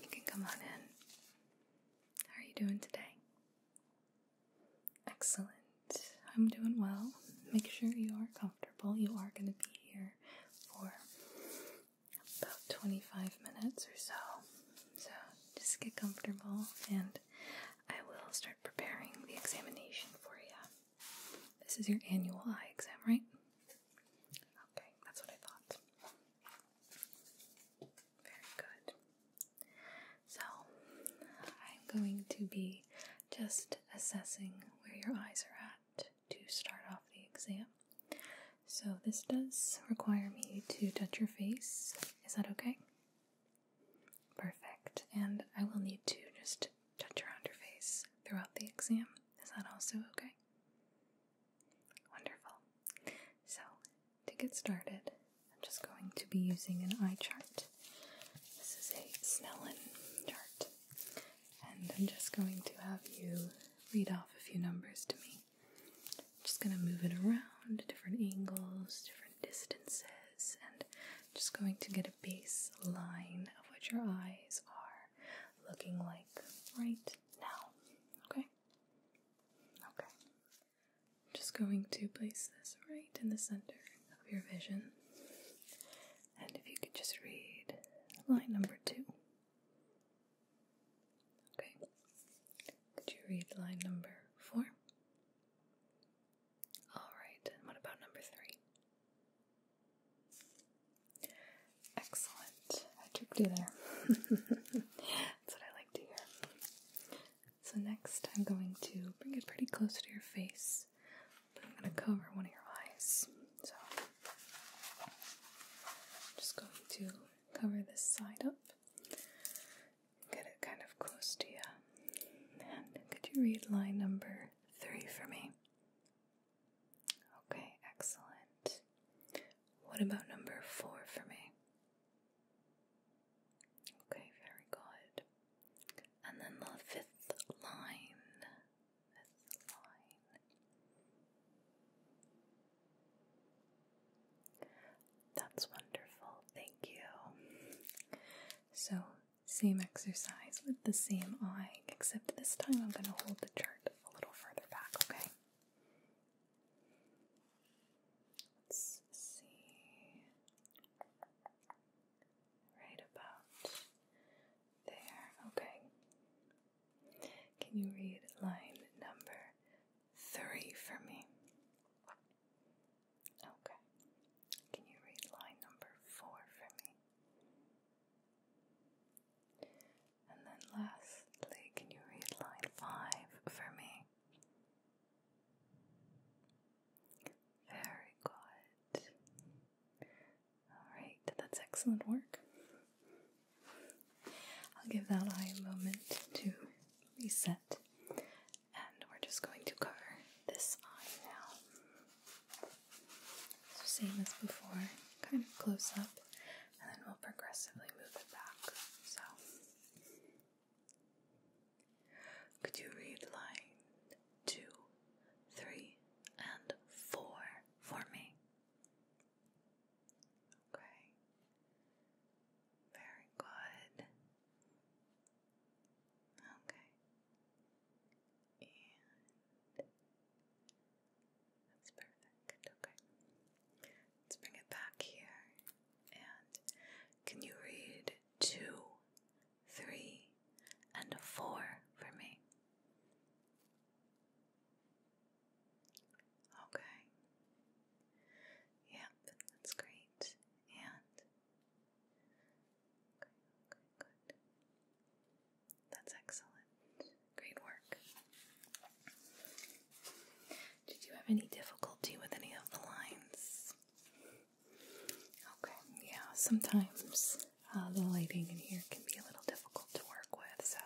You can come on in. How are you doing today? Excellent. I'm doing well. Make sure you are comfortable. You are going to be here for about 25 minutes or so. So just get comfortable and I will start preparing the examination for you. This is your annual eye exam, right? Okay, that's what I thought. Very good. So I'm going to be just assessing where your eyes are at to start off the exam. So, this does require me to touch your face. Is that okay? Perfect. And I will need to just touch around your face throughout the exam. Is that also okay? Wonderful. So, to get started, I'm just going to be using an eye chart. This is a Snellen chart. And I'm just going to have you read off a few numbers to me just going to move it around to different angles, different distances, and just going to get a baseline of what your eyes are looking like right now. Okay? Okay. just going to place this right in the center of your vision. And if you could just read line number two. Okay. Could you read line number four? Alright, and what about number three? Excellent. I tricked you there. That's what I like to hear. So, next I'm going to bring it pretty close to your face, but I'm going to cover one of your eyes. So, I'm just going to cover this side up. Get it kind of close to you. And could you read line number three for me? Okay, excellent. What about number four for me? Okay, very good. And then the fifth line. Fifth line. That's wonderful, thank you. So, same exercise with the same eye, except this time I'm going to hold the chart a little further back, okay? Let's see. Right about there, okay. Can you read line number three for me? Okay. Can you read line number four for me? And then lastly, can you read line five for me? Very good. Alright, that's excellent work. I'll give that eye a moment to reset. And we're just going to cover this eye now. So, same as before, kind of close up, and then we'll progressively move it back. So, could you read line two, three, and four for me? Okay. Very good. Okay. And that's perfect. Okay. Let's bring it back here. And can you read two, three, and four for me? Okay. Yep, that's great. And good. That's excellent. Great work. Did you have any difficulty with any of the lines? Okay, yeah, sometimes uh, the lighting in here can be a little difficult to work with, so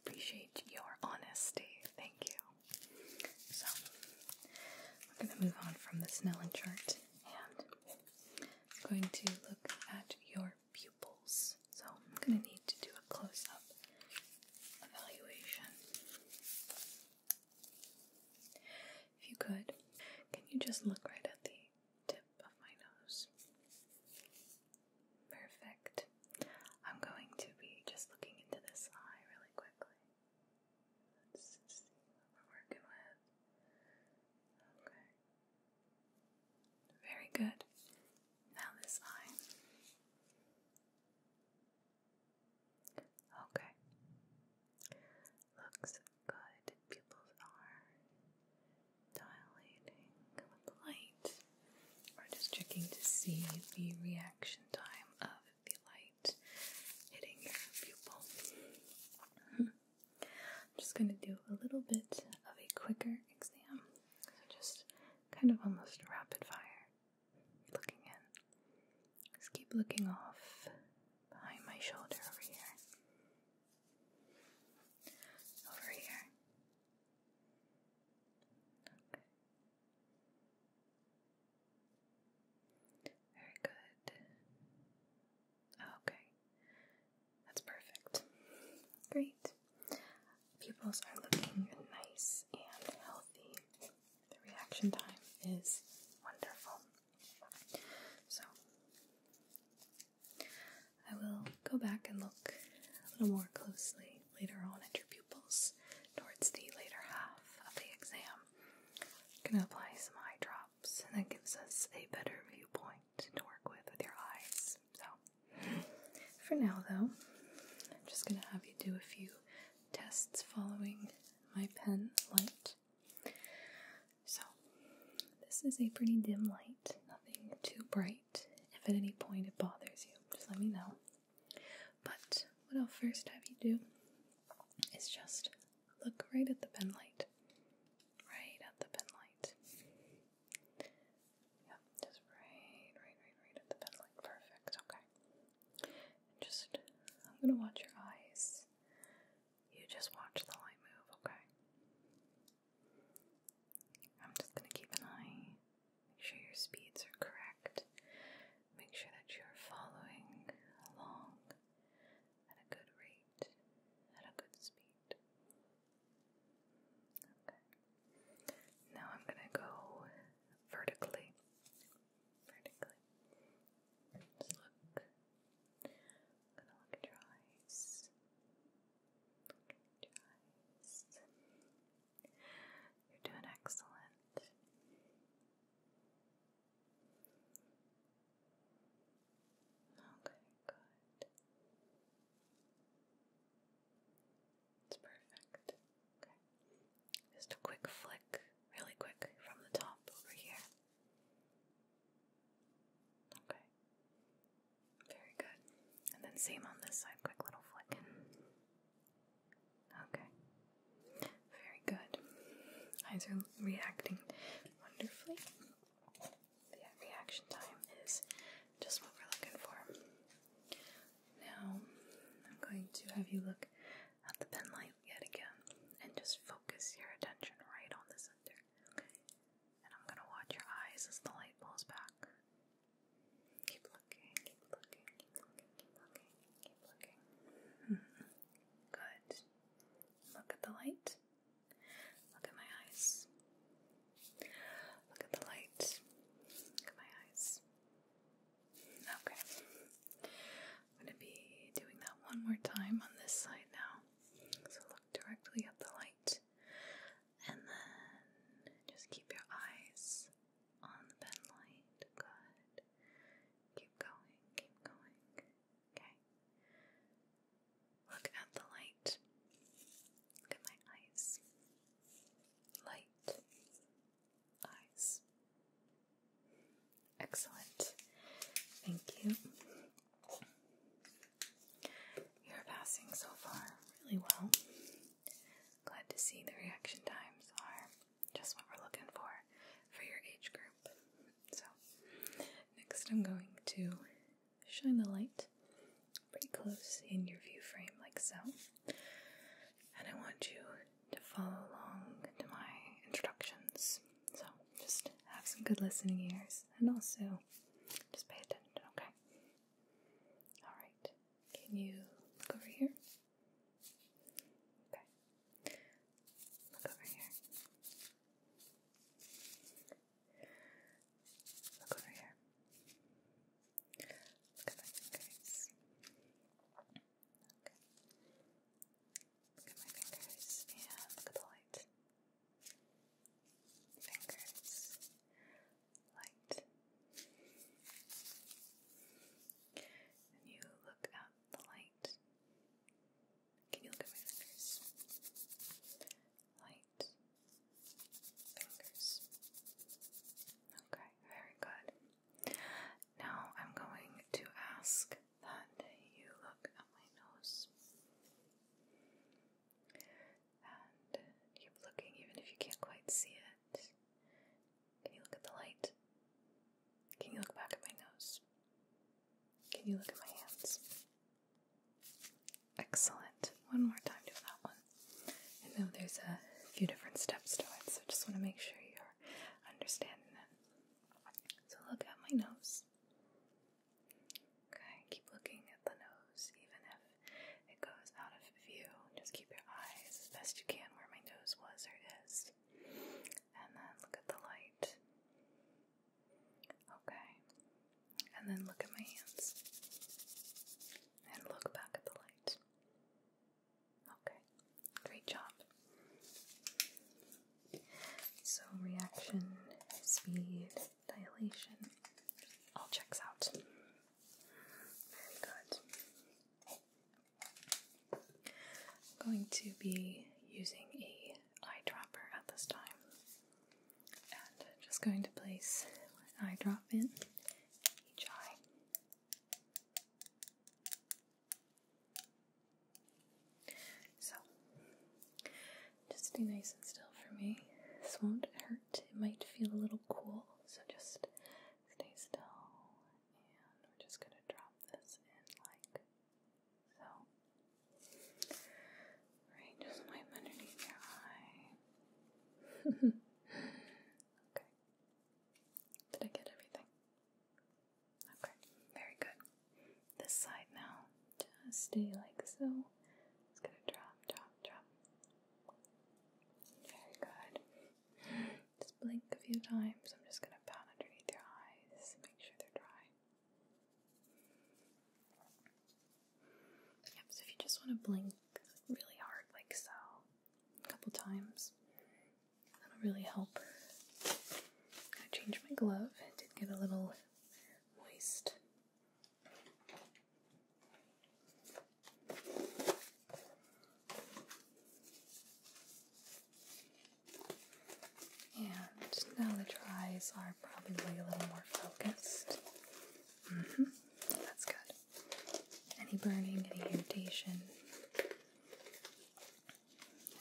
appreciate your honesty. Thank you. So, we're going to move on from the Snellen chart and I'm going to look at your pupils. So, I'm going to need to do a close up evaluation. If you could, can you just look right at the tip of my nose? Perfect. I'm going to be just looking into this eye really quickly. Let's see what we're working with. Okay. Very good. Now this eye. Okay. Looks good. Pupils are dilating with light. we just checking to see the reaction time of the light hitting your pupil. I'm just going to do a little bit of a quicker exam. So just kind of almost rapid fire looking in. Just keep looking off behind my shoulder over here. Over here. Very good. Okay. That's perfect. Great. Pupils are looking nice and healthy. The reaction time is wonderful. So, I will go back and look a little more closely later on at your pupils towards the later half of the exam. I'm going to apply some eye drops, and that gives us a better viewpoint to work with with your eyes. So, for now though, I'm just going to have you do a few tests following my pen light. So, this is a pretty dim light, nothing too bright. If at any point it bothers you, just let me know. But what I'll first have you do is just look right at the pen light. Right at the pen light. Yep, just right, right, right, right at the pen light. Perfect, okay. just, I'm gonna watch your eyes. You just watch the light move, okay? I'm just going to keep an eye, make sure your speeds are correct, make sure that you're following along at a good rate, at a good speed. Okay. Now I'm going to go vertically. Vertically. Just look gonna look at your eyes. Look at your eyes. You're doing excellent. Okay, good. It's perfect. Just a quick flick, really quick, from the top over here. Okay. Very good. And then same on this side, quick little flick. Okay. Very good. Eyes are reacting wonderfully. Yeah, reaction time is just what we're looking for. Now, I'm going to have you look at the pen light yet again and just focus your attention right on the center. And I'm gonna watch your eyes as the light blows back. Keep looking, keep looking, keep looking, keep looking, Good. Look at the light. Look at my eyes. Look at the light. Look at my eyes. Okay. I'm going to be doing that one more time on this side now. So look directly at the light and then just keep your eyes on the pen Good. Keep going, keep going. Okay. Look at the light. Look at my eyes. Light. Eyes. Excellent. Thank you. You're passing so far really well. Glad to see the reaction times are just what we're looking for for your age group. So, next I'm going to shine the light pretty close in your view frame, like so. And I want you to follow along to my instructions. So just have some good listening ears and also just pay attention, okay? Alright, can you look over here? Okay, look over here. Look over here. Look at my fingers. Okay. Look at my fingers. Yeah, look at the light. Fingers. Light. And you look at the light. Can you look at my fingers? Light. Fingers. Okay, very good. Now I'm going to ask that you look at my nose. And keep looking even if you can't quite see it. Can you look at the light? Can you look back at my nose? Can you look at my hands? Excellent. One more time, do that one. I know there's a few different steps to it, so I just want to make sure you're understanding it. So look at my nose. Okay, keep looking at the nose, even if it goes out of view. Just keep your eyes as best you can where my nose was or is. And then look at the light. Okay. And then look at my hands. And look back at the light. Okay great job. So, reaction, speed, dilation, all checks out. Very good. I'm going to be using a eyedropper at this time. And just going to place an eyedrop in each eye. So, just stay nice and still for me. This won't hurt. It might feel a little cool, so just stay still. And we're just going to drop this in like so. Right, just wipe underneath your eye. okay. Did I get everything? Okay, very good. This side now, just stay like so. It's gonna drop, drop, drop. Very good. Just blink a few times. I'm just gonna pat underneath your eyes, make sure they're dry. so if you just wanna blink really hard, like so, a couple times, That'll really help. I changed my glove. It did get a little moist. And now the tries are probably a little more focused. Mm-hmm. That's good. Any burning, any irritation.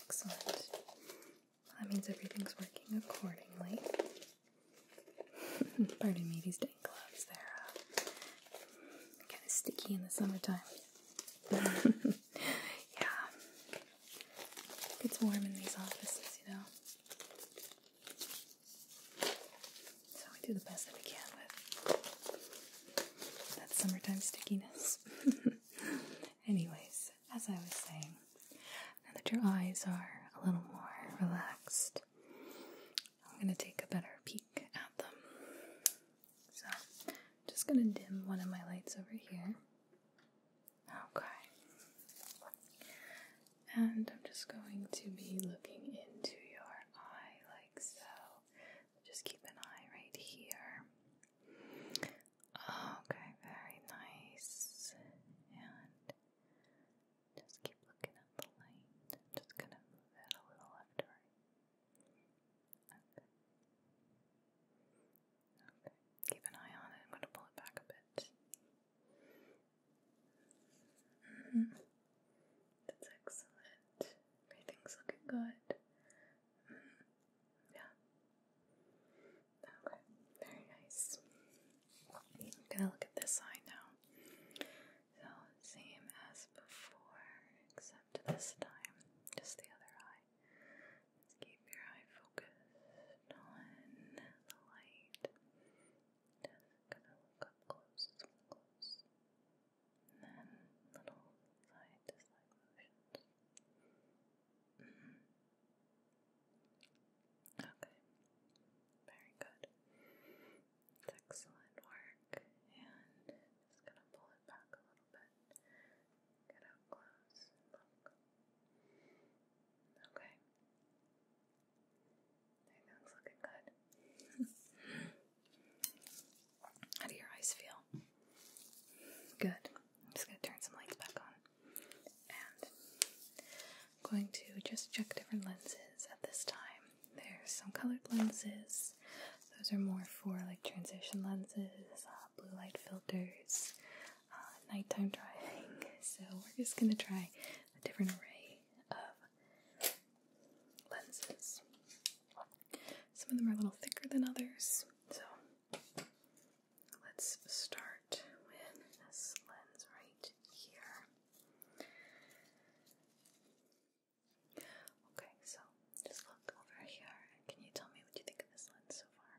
Excellent. that means everything's working accordingly. Pardon me, these dang gloves, they're uh, kind of sticky in the summertime. yeah. It gets warm in these offices, you know. So we do the best that we can with that summertime stickiness. Anyways, as I was saying, now that your eyes are a little more relaxed, I'm going to take a better peek at them. So, I'm just going to dim one of my lights over here. Okay. And I'm just going to be looking into your eye like so. Just keep an eye right here. Okay, very nice. And just keep looking at the light. just gonna move it a little left or right. Okay. Keep an eye on it. I'm gonna pull it back a bit. -hmm. That's excellent. Everything's looking good. Mm-hmm. yeah. Okay, very nice. gonna look at this eye now. So, same as before, except this time, just the other eye. keep your eye focused on the light. Just gonna look up close, close, and then little side to side motions. Mm-hmm. Okay, very good. excellent work, and just gonna pull it back a little bit. Get out close look. Okay. Everything's looking good. How do your eyes feel? Good. I'm just going to turn some lights back on. And I'm going to just check different lenses at this time. There's some colored lenses. Those are more for like transition lenses, uh, blue light filters, uh, nighttime driving. So we're just going to try a different array of lenses. Some of them are a little thicker than others, so let's start with this lens right here. Okay, so just look over here, can you tell me what you think of this lens so far?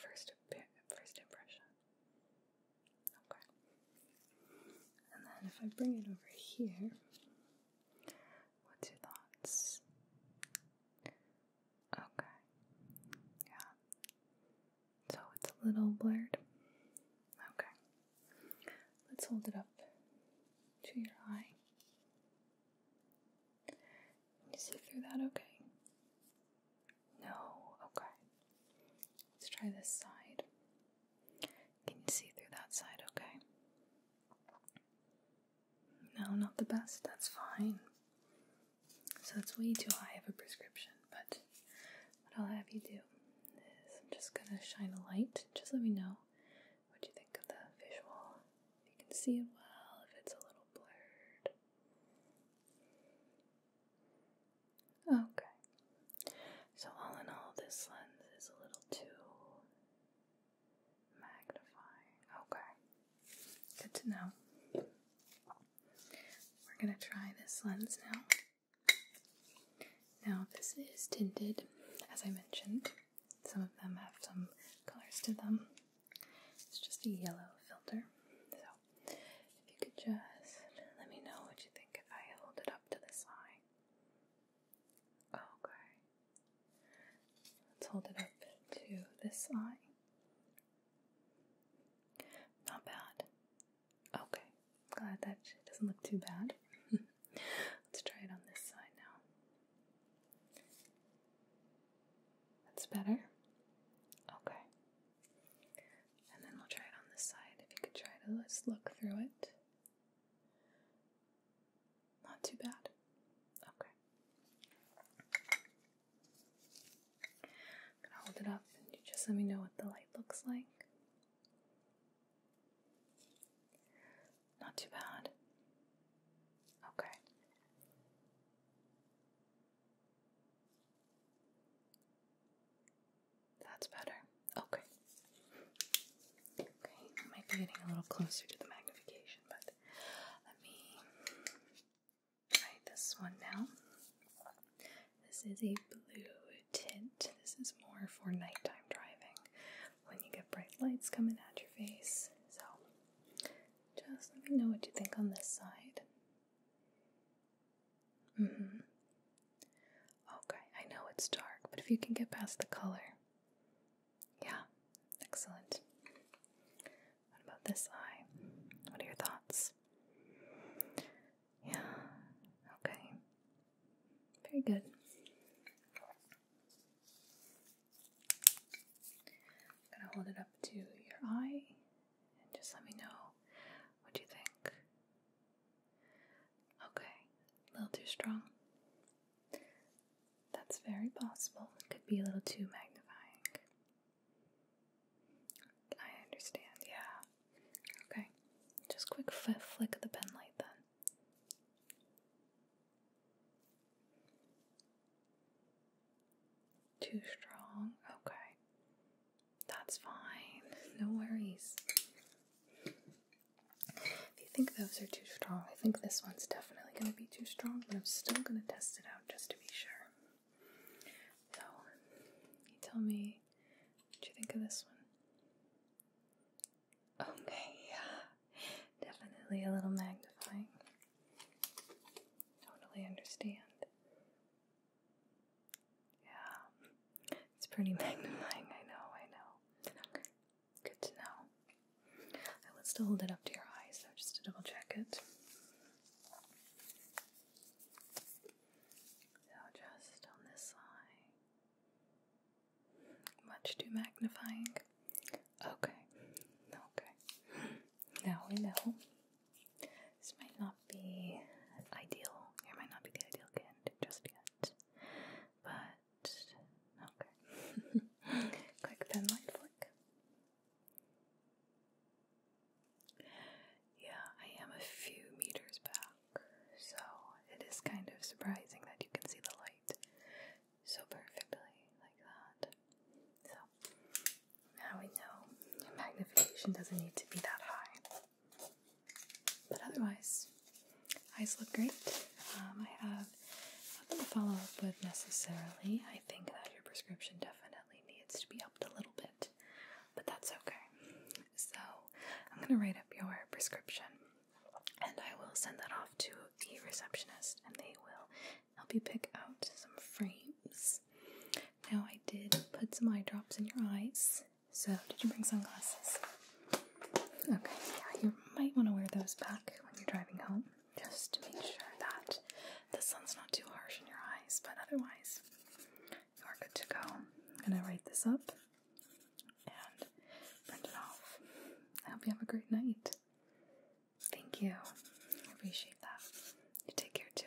First, first impression. Okay. And then if I bring it over here, what's your thoughts? Okay. Yeah. So it's a little blurred. Okay. Let's hold it up to your eye. Can you see through that okay? No, okay. Let's try this side. Can you see through that side okay? No, not the best, that's fine. So it's way too high of a prescription, but what I'll have you do is I'm just gonna shine a light. Just let me know what you think of the visual. If you can see it well, if it's a little blurred. Okay. So, all in all, this lens is a little too magnifying. Okay. Good to know. We're going to try this lens now. Now, this is tinted, as I mentioned. Some of them have some colors to them. It's just a yellow filter. So, if you could just let me know what you think if I hold it up to the side. Okay. Let's hold it up to this eye. Not bad. Okay. Glad that it doesn't look too bad. Let's try it on this side now. That's better. Okay and then we'll try it on the side. If you could try to let's look through it. Not too bad. Okay. I'm gonna hold it up just let me know what the light looks like. Not too bad. Okay. That's better. Okay. Okay, might be getting a little closer to the magnification, but let me try this one now. This is a blue tint. This is more for nighttime driving when you get bright lights coming at your face. So, just let me know what you think on this side. Mm hmm. Okay, I know it's dark, but if you can get past the color. Yeah, excellent. What about this eye? What are your thoughts? Yeah, okay. Very good. gonna hold it up to your eye and just let me know what you think. Okay, a little too strong. That's very possible. It could be a little too magnifying. I understand, yeah. Okay, just quick flick of the pen light then. Too strong, okay. That's fine. No worries. If you think those are too strong, I think this one's definitely going to be too strong, but I'm still going to test it out just to be sure. So, you tell me what you think of this one. Okay, yeah. Definitely a little magnifying. Totally understand. Yeah, it's pretty magnifying, I know, I know. Good to know. I would still hold it up to your eyes, though, just to double check it. So, just on this eye. Much too magnifying. Okay, okay. Now we know this might not be ideal. It might not be the ideal candidate just yet. But okay. Quick pen light flick. Yeah, I am a few meters back, so it is kind of surprising that you can see the light so perfectly like that. So now we know magnification doesn't need to be that high. But otherwise, eyes look great. Um, I have nothing to follow up with necessarily. I think that your prescription definitely needs to be upped a little bit, but that's okay. So I'm going to write up your prescription and I will send that off to the receptionist and they will help you pick out some frames. Now, I did put some eye drops in your eyes. So, did you bring sunglasses? Okay, you might want to wear those back when you're driving home just to make sure that the sun's not too harsh in your eyes, but otherwise, you are good to go. I'm gonna write this up and print it off. I hope you have a great night. Thank you. I appreciate that. You take care too.